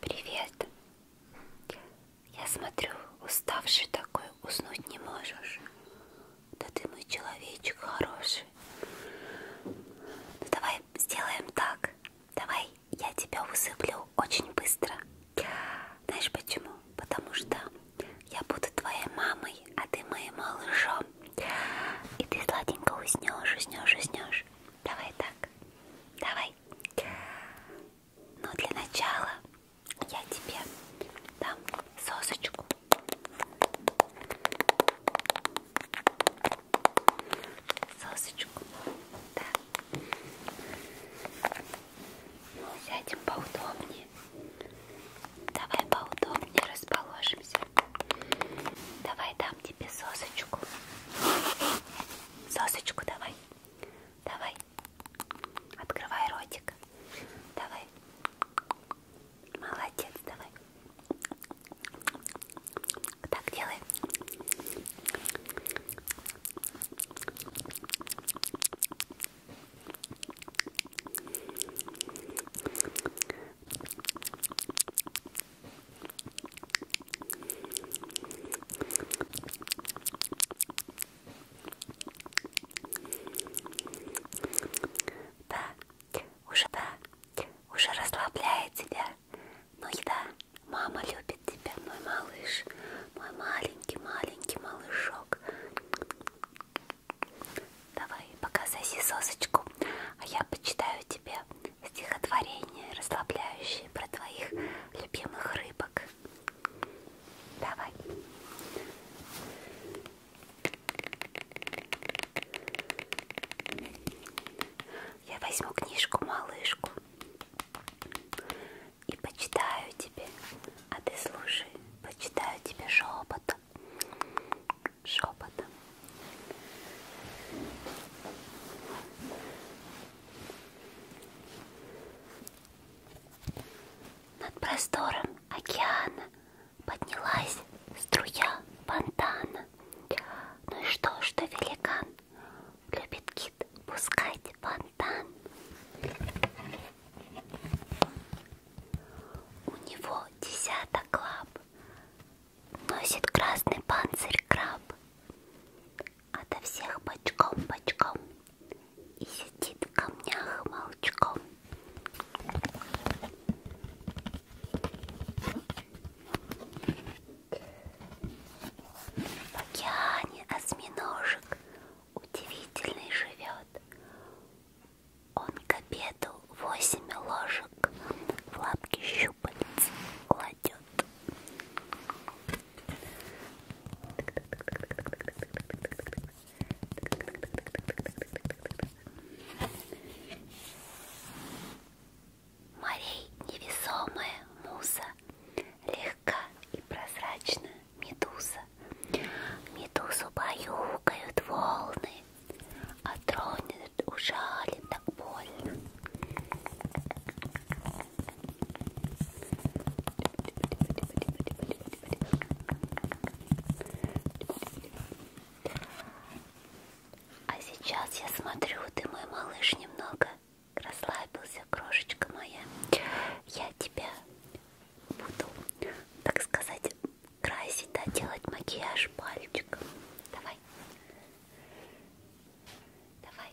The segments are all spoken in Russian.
Привет. Я смотрю, уставший такой, уснуть не можешь. Да ты мой человечек хороший. Ну, давай сделаем так. Давай я тебя усыплю очень быстро. Знаешь почему? Потому что я буду твоей мамой, а ты моим малышом. И ты сладенько уснешь, уснешь, уснешь. Давай так. Давай давай. Но для начала я тебе дам сосочку. Сосочку. Да. Сядем поудобнее. Давай поудобнее расположимся. Давай дам тебе сосочку. Сосочку давай давай, давай, открывай ротик, давай, молодец, давай, так делай. Да, уже да, уже расслабляет тебя. Ну и да, мама любит тебя, мой малыш, мой маленький, маленький малышок. Давай, показывай сосочку, а я почитаю тебе стихотворение, расслабляющее про твоих любимых рыбок. Давай. Я возьму книжку малышку и почитаю тебе, а ты слушай, почитаю тебе шепотом, шепотом. Над простором океана поднялась струя фонтана. Ну и что, что великан любит кит пускать фонтан? У него десяток лап, носит красный панцирь краб ото всех бочком-бочком и сидит в камнях молчком. В океане осьминожек удивительный живет. Он к обеду восемь ложек в лапки щупальца кладет. Морей невесомая муза, легка и прозрачна медуза. Медузу баюкают волны, а тронет ужалит так больно. А сейчас я смотрю, ты мой малыш немного расслабился, крошечка моя. Я тебя буду, так сказать, красить, да, делать макияж пальчиком. Давай. Давай.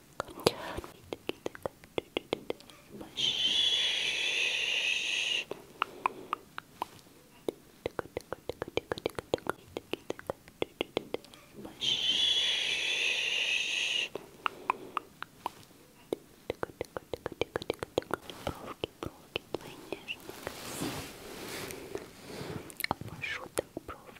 так. Бровки, бровки, твои нежные, красивые. Обвожу так бровки.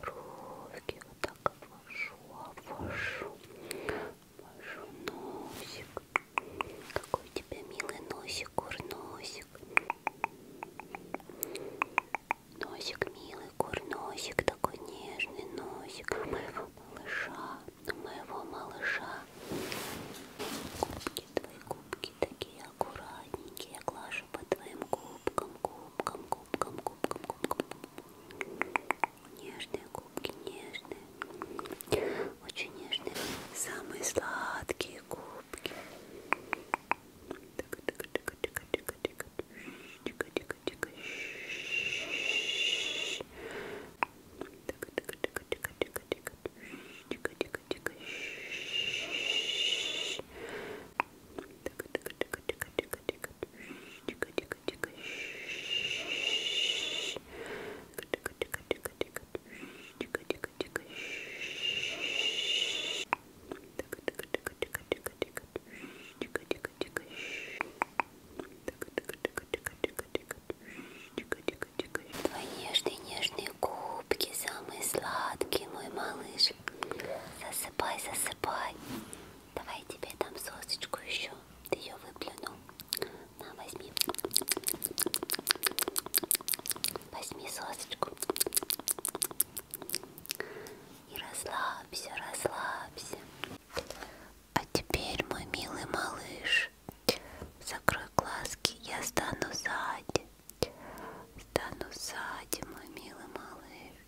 бровки, вот так обвожу, обвожу, обвожу носик. Какой у тебя милый носик, курносик. Носик милый, курносик, такой нежный носик. У моего малыша, у моего малыша. Губки, твои губки такие аккуратненькие. Я глажу по твоим губкам, губкам, губкам, губкам, губкам. Нежные губки, нежные, очень нежные, самые сладкие губки. Твои нежные, нежные губки, самые сладкие, мой малыш. Засыпай, засыпай. Давай я тебе дам сосочку еще. Ты ее выплюнул. На, возьми. Возьми сосочку. И расслабься, расслабься. А теперь, мой милый малыш, закрой глазки, я стану сзади. Стану сзади, мой милый малыш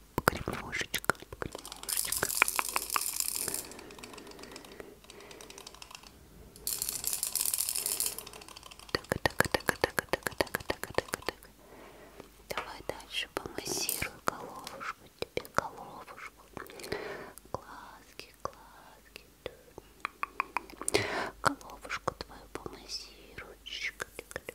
погремушечка, погремушечка. Так, так, так, так, так, так, так, так, так. Давай дальше помассирую головушку тебе, головушку. Глазки, глазки. Головушку твою помассирую. Ручка, так, так, так.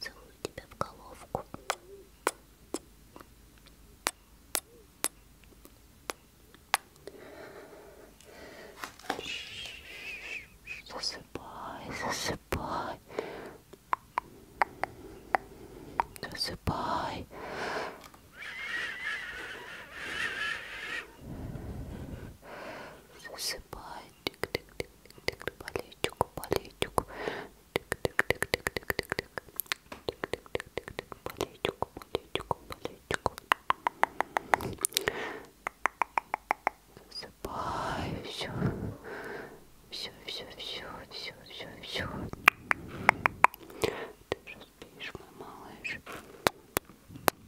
Целую тебя в головку. Засыпай, засыпай. Засыпай засыпает тик тик тик тик тик палетику палетику тик тик тик тик тик тик тик тик тик тик тик палетику палетику палетику засыпаю все все все все все все все ты же спишь мой малыш